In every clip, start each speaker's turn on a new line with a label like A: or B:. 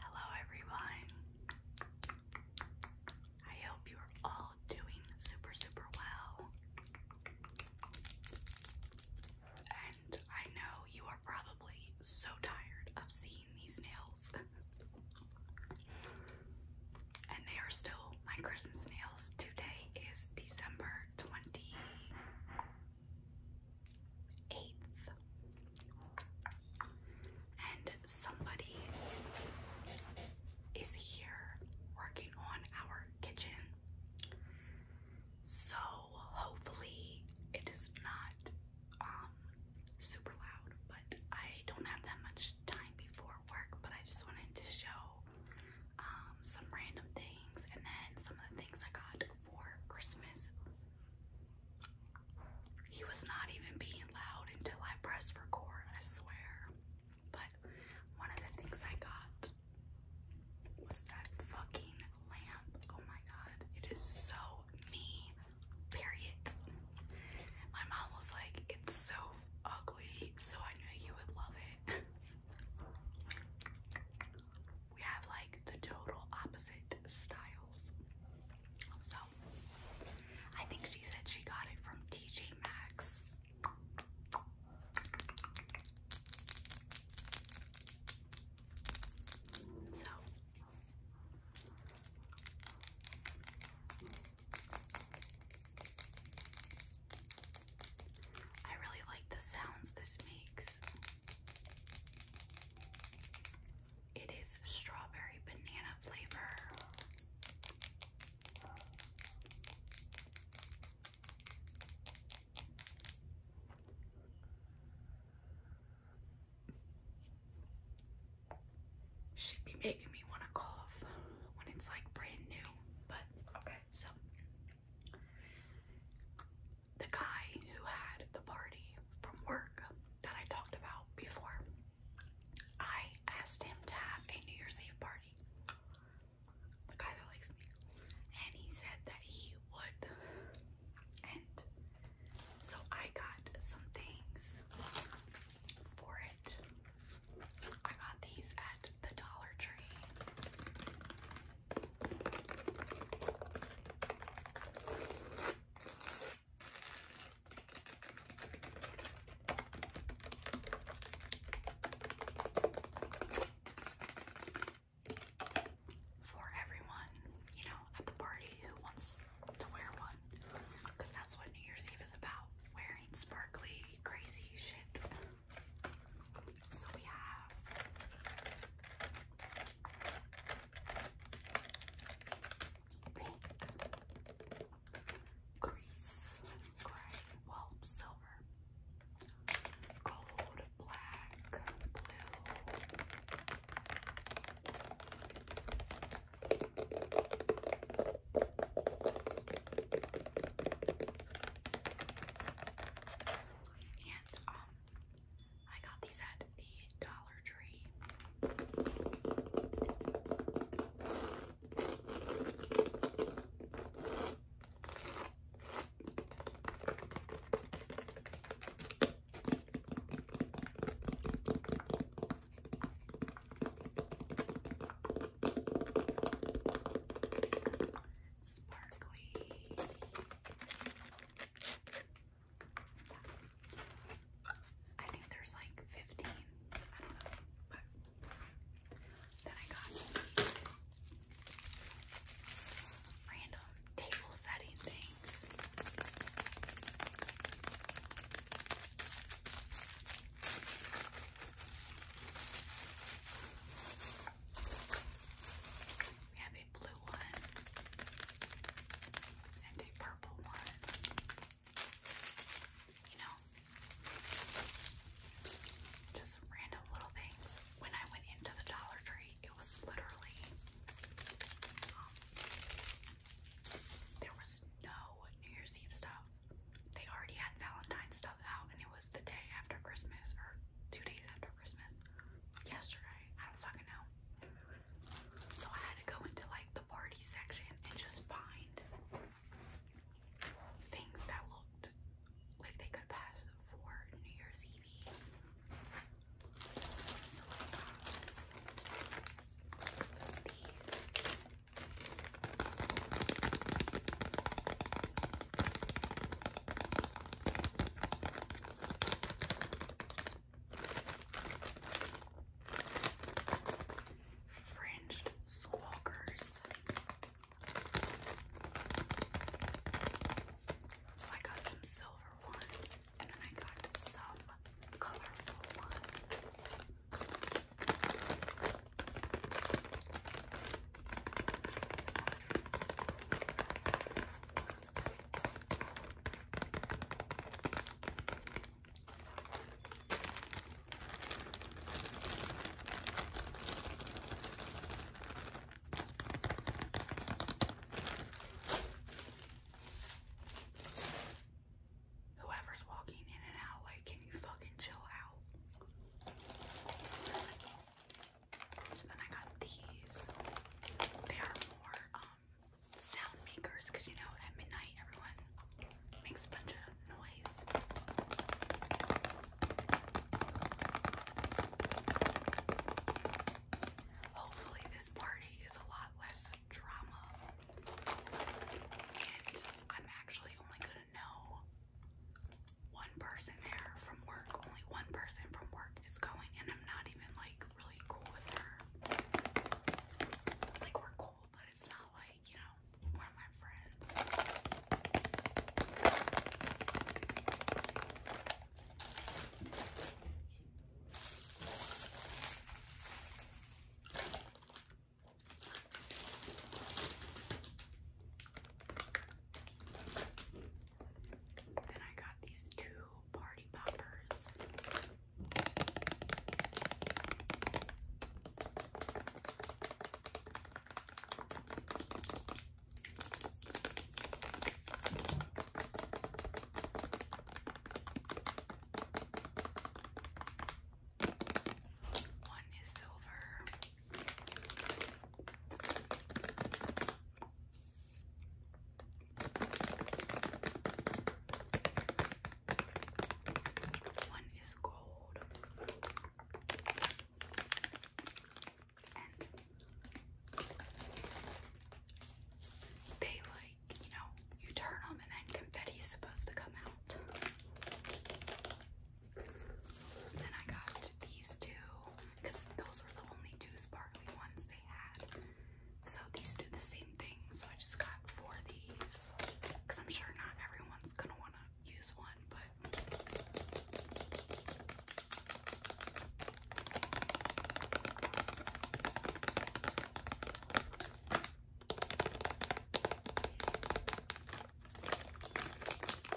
A: Hello, everyone. I hope you're all doing super, super well. And I know you are probably so tired of seeing these nails. and they are still my Christmas nails. Today is December 20. 8th. And somebody is here working on our kitchen. So hopefully it is not um super loud, but I don't have that much time before work, but I just wanted to show um some random things and then some of the things I got for Christmas. He was not even being loud until I pressed record, I swear. But one of the things I got was that fucking lamp. Oh my god, it is so me. Period. My mom was like, it's so ugly, so I knew you would love it we have like the total opposite styles. So I think she said she got it from TJ Maxx. So I really like the sounds this makes. It is strawberry banana flavor. Should be making me want to cough when it's like brand new, but okay, so the guy who had the party from work that I talked about before, I asked him to have a New Year's Eve party. The guy that likes me. And he said that he would. And so I got some things for it. I got these at the Dollar Tree for everyone, you know, at the party who wants to wear one. Because that's what New Year's Eve is about. Wearing sparkly, crazy shit. So we have pink, grease, gray, silver, gold, black, blue. And um I got these at the Dollar Tree. Sparkly. I think there's like 15. I don't know. then I got random table setting things. We have a blue one and a purple one. You know, just random little things. When I went into the Dollar Tree, it was literally um, there was no New Year's Eve stuff. They already had Valentine's stuff out, and it was the day after Christmas or two days after Christmas yesterday. I don't fucking know. So I had to go into like the party section and just find things that looked like they could pass for New Year's Eve. So I got these. Fringed squawkers. So I got some silver ones and then I got some colorful ones. Whoever's walking in and out, like, can you fucking chill out? So then I got these. They are more um, sound makers because you know at midnight everyone makes a bunch of noise. Hopefully this party is a lot less drama. And I'm actually only gonna know one person there from work. Only one person from work is going, and I'm not even like really cool with her. Like, we're cool, but it's not like, you know, we're my friends. Then I got these two party poppers. One is silver. One is gold and they like, you know, you turn them and then confetti's supposed to come out. Then I got these two because those were the only two sparkly ones they had. So these do the same thing. So I just got four of these because I'm sure not everyone's gonna want to use one, but.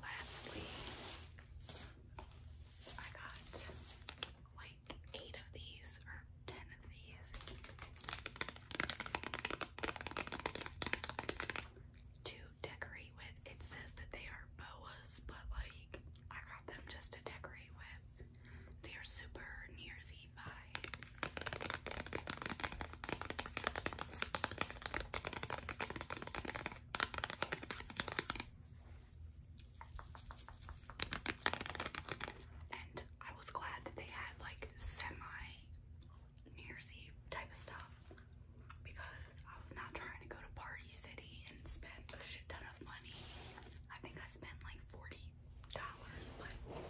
A: lastly, I got like eight of these or ten of these. To decorate with, it says that they are boas, but like I got them just to decorate with. They are super New Year's Eve vibes. And I was glad that they had like semi New Year's Eve type of stuff because I was not trying to go to Party City and spend a shit ton of money. I think I spent like $40, but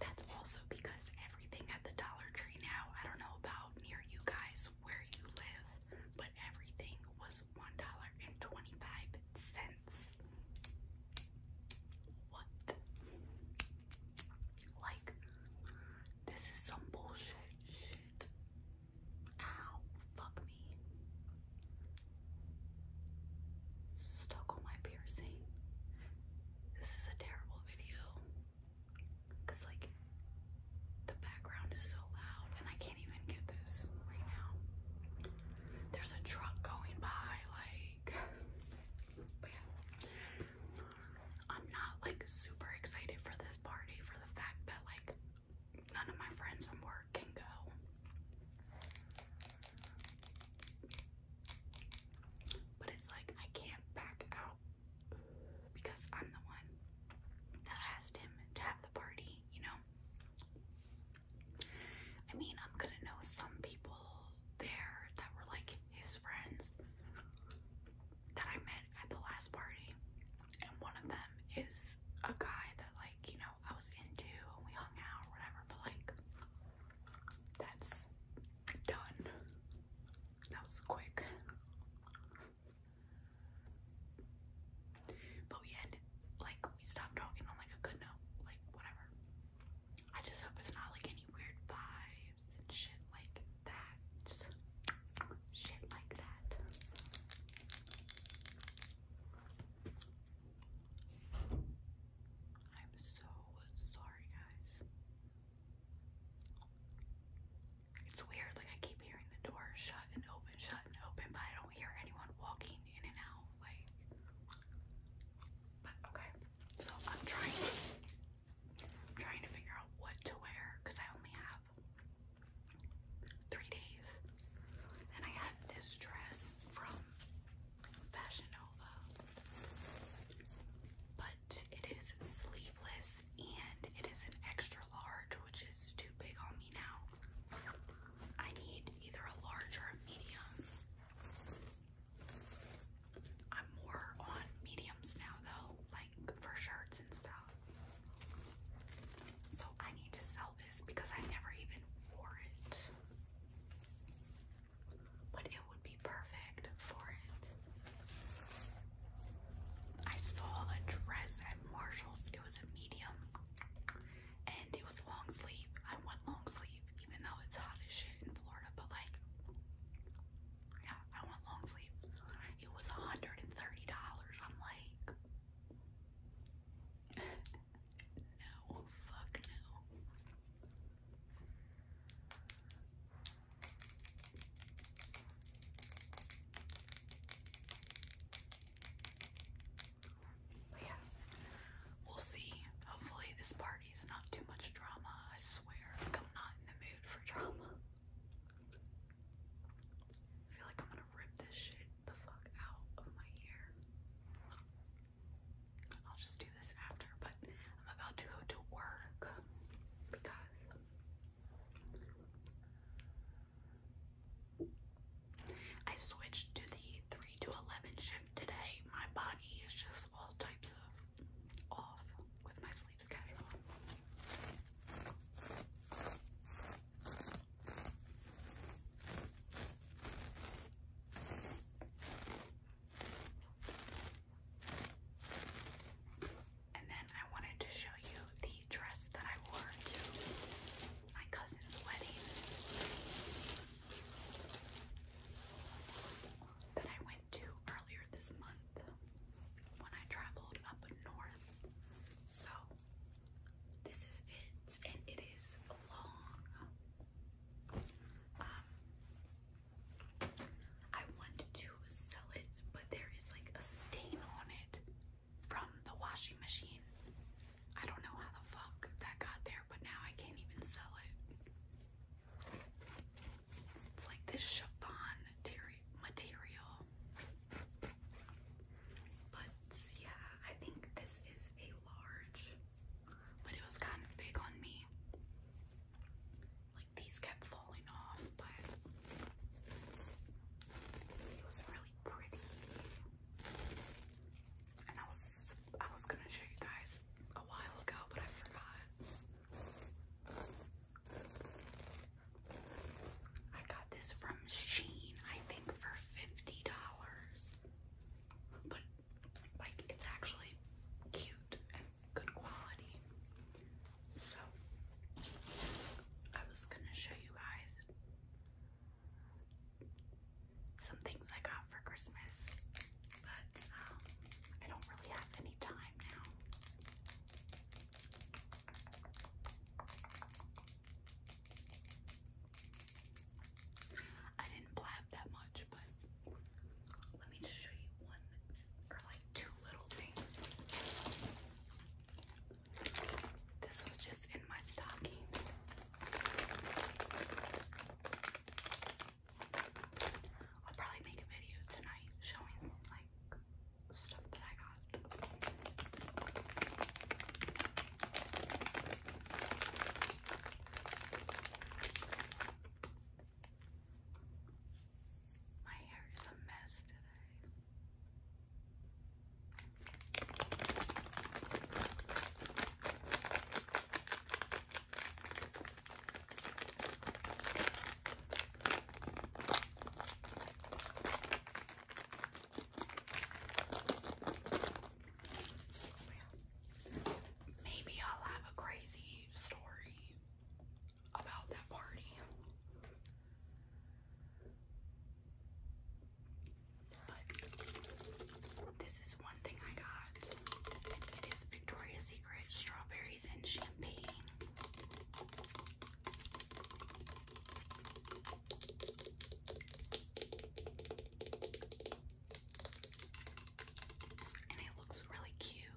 A: that's also because everything at the Dollar Tree now. I don't know about near you guys where you live, but everything was one dollar and twenty-five cents. What? Like this is some bullshit shit. Ow, fuck me. Stuck on my piercing. This is a terrible video. Cause like the background is so loud and I can't even get this right now. There's a truck going by, like but yeah. I'm not like super excited for this party for the fact that like none of my friends from work can go. But it's like I can't back out because I'm the one that asked him to have the party, you know? I mean, I'm gonna know some people there that were like his friends that I met at the last party, and one of them is a guy that, like, you know, I was into and we hung out or whatever, but like, that's done. That was quick. But we ended, like, we stopped talking on, like, a good note. Like, whatever. I just hope it's not, like, any weird vibes and shit like that. shit like that. I'm so sorry, guys. It's weird, like I keep hearing the door shut and open, shut and open, but I don't hear anyone walking in and out, like but okay. So I'm trying I'm trying to figure out what to wear because I only have three days. And I had this dress from Fashion Nova. But it is sleeveless and it is an extra large, which is too big on me now. I need either a large or a medium. I'm more on mediums now, though, like for shirts and stuff. So I need to sell this because I never even wore it but it would be perfect for it. I saw a dress at Marshall's. It was a medium and it was long sleeve. I want long sleeve, even though it's hot as shit in Florida, but like, yeah, I want long sleeve. It was $130. I'm like, no, fuck no yeah, we'll see. Hopefully, this party is not too much drama. I swear, I'm not in the mood for drama. I feel like I'm gonna rip this shit the fuck out of my ear. I'll just do this after, but I'm about to go to work because I switched to the 3 to 11 shift today. My body is just all types of off with my sleep schedule. And then I wanted to show you the dress that I wore to my cousin's wedding that I went to earlier this month when I traveled up north. So this is it, and it is long. Um, I want to sell it, but there is like a stain on it from the washing machine. I don't know how the fuck that got there, but now I can't even sell it. It's like this chiffon material. But yeah, I think this is a large, but it was kind of big on me like these kept falling off, but it was really pretty. And I was I was gonna show you guys a while ago, but I forgot. I got this from Sheen, I think for fifty dollars. But like it's actually cute good quality. So, I was gonna show you guys some things I got for Christmas, but um, I don't really have any time now. I didn't blab that much, but let me just show you one are like two little things. This was just in my stocking. I'll probably make a video tonight showing like stuff that I got. My hair is a mess today. Maybe I'll have a crazy story about that party. But this is one thing I got. It is Victoria's Secret strawberries and champagne and it looks really cute.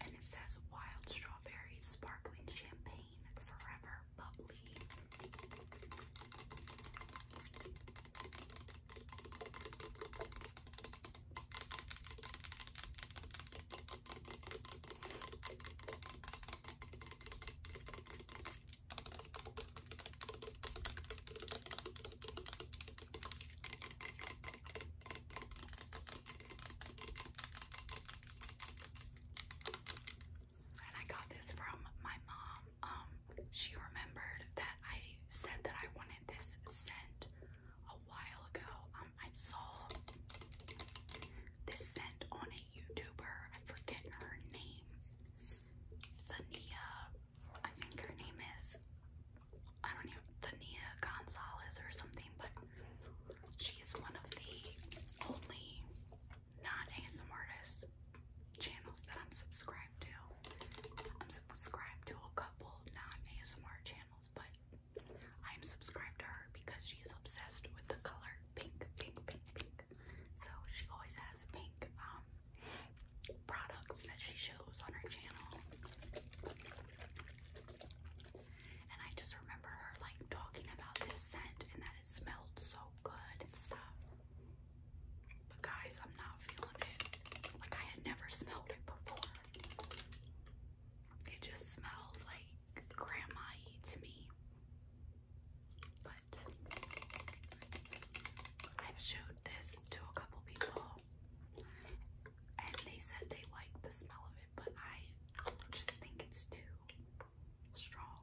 A: And it says wild strawberries, sparkling champagne, forever bubbly. And I got this from my mom. Um, she remembered that I said that I wanted this scent a while ago. Um, I saw this scent on a YouTuber. I forget her name. Thania I think her name is I don't even Thania Gonzalez or something, but she's one of the only not ASM artists channels that I'm subscribed to. I'm subscribed to a couple non ASMR channels, but I'm subscribed to her because she is obsessed with the color pink, pink, pink, pink. So she always has pink um, products that she shows on her channel. And I just remember her like talking about this scent and that it smelled so good and stuff. But guys, I'm not feeling it. Like I had never smelled it before. It just smells like grandma to me. I've showed this to a couple people and they said they like the smell of it, but I just think it's too strong.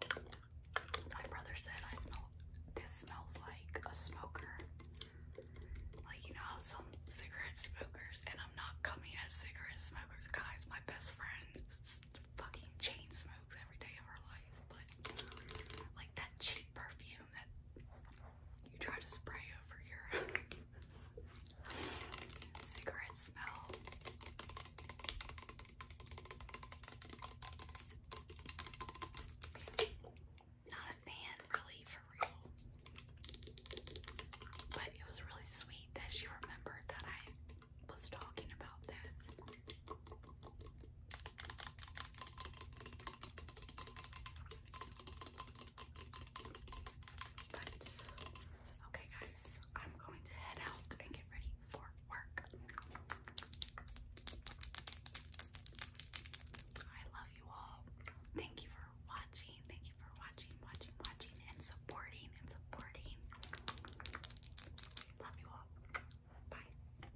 A: My brother said I smell this smells like a smoker. Like you know some cigarette smokers and I'm not coming as cigarette smokers, guys. My best friend fucking chain smokes every day of her life, but like that cheap perfume you try to spray over your cigarette smell. Not a fan, really, for real. But it was really sweet that she remembered that I was talking about this okay guys, I'm going to head out and get ready for work. I love you all. Thank you for watching. Thank you for watching, watching, watching, and supporting and supporting. Love you all. Bye.